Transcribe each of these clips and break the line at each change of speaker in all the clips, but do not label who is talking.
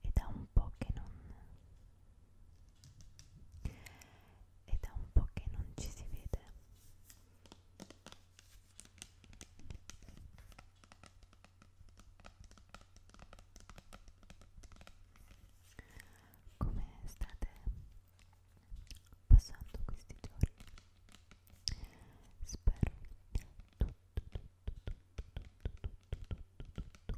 Ed è un po' che non Ed è un po' che non ci si vede. Come state? passando questi giorni spero che tutto tutto tutto tutto tutto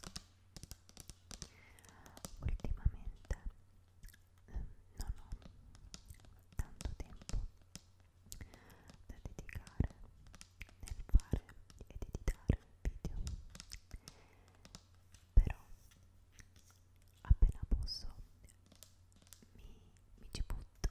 tutto tutto quanto bene ultimamente eh, non ho tanto tempo da dedicare nel fare ed editare video però appena posso mi, mi ci butto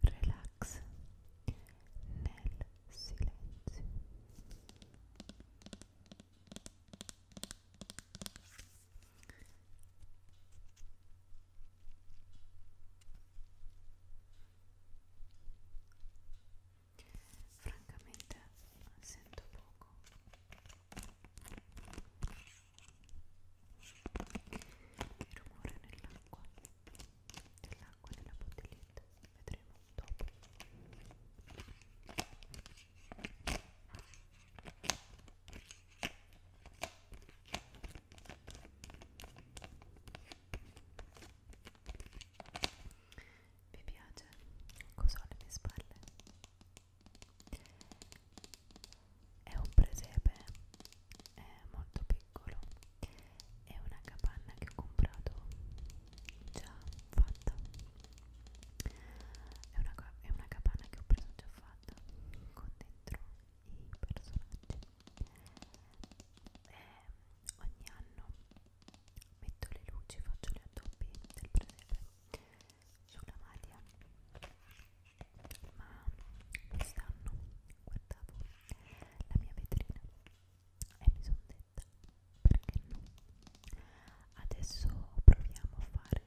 Relax nel silenzio. Francamente sento poco che rumore nell'acqua nell'acqua nella bottiglietta vedremo dopo vi piace? cosa ho alle mie spalle? È un presepe
è molto piccolo. È una capanna che ho comprato già fatta. È una, è una capanna che ho preso già fatta con dentro i personaggi. E ehm, ogni anno metto le luci, faccio le addobbi del presepe sulla maglia ma quest'anno guardavo la mia vetrina e mi sono detta perché no adesso proviamo a fare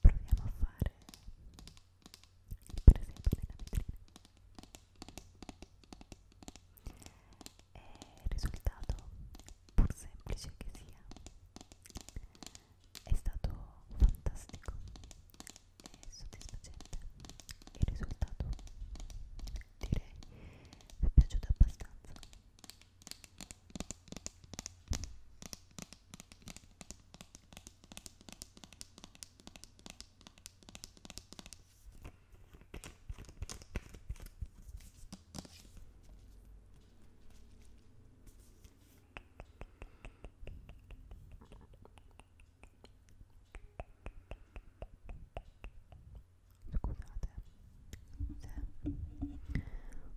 proviamo a fare per esempio nella vetrina e il risultato, pur semplice che sia, è stato fantastico e soddisfacente. Il risultato, direi, mi è piaciuto abbastanza. Scusate se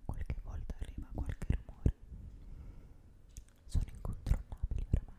qualche volta arriva qualche rumore, sono incontrollabili oramai.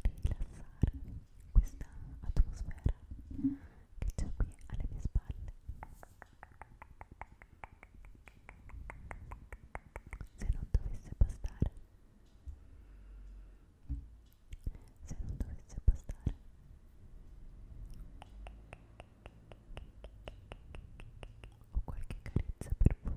rilassare questa atmosfera che c'è qui alle mie spalle se non dovesse bastare se non dovesse bastare ho qualche carezza per voi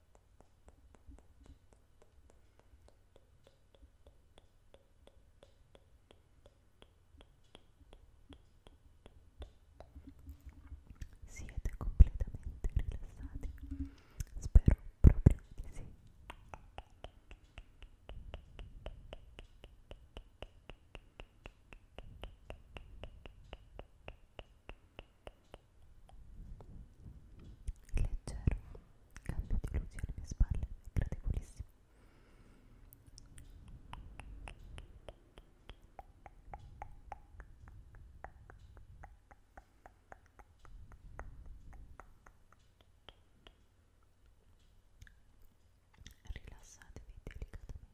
Siete completamente rilassati? Spero proprio di sì. Io Leggero cambio di luce alle mie spalle è gradevolissimo. Rilassatevi delicatamente.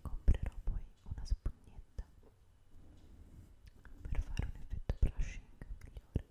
Comprerò poi una spugnetta per fare un effetto brushing migliore.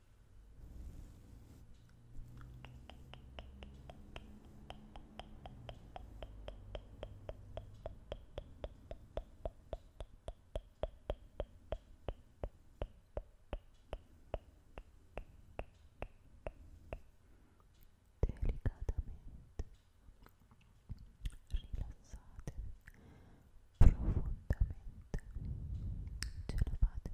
rilassate profondamente ce la fate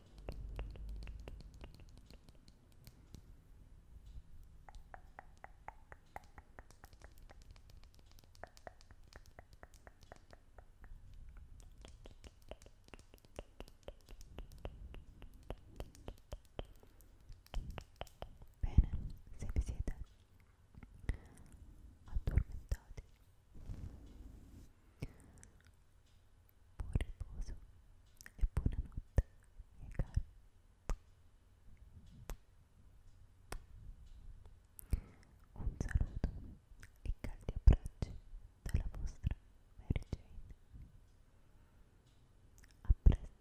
Bene, se vi siete addormentati Buon riposo e buonanotte, miei cari. Un saluto e caldi abbracci dalla vostra Mary Jane. A presto.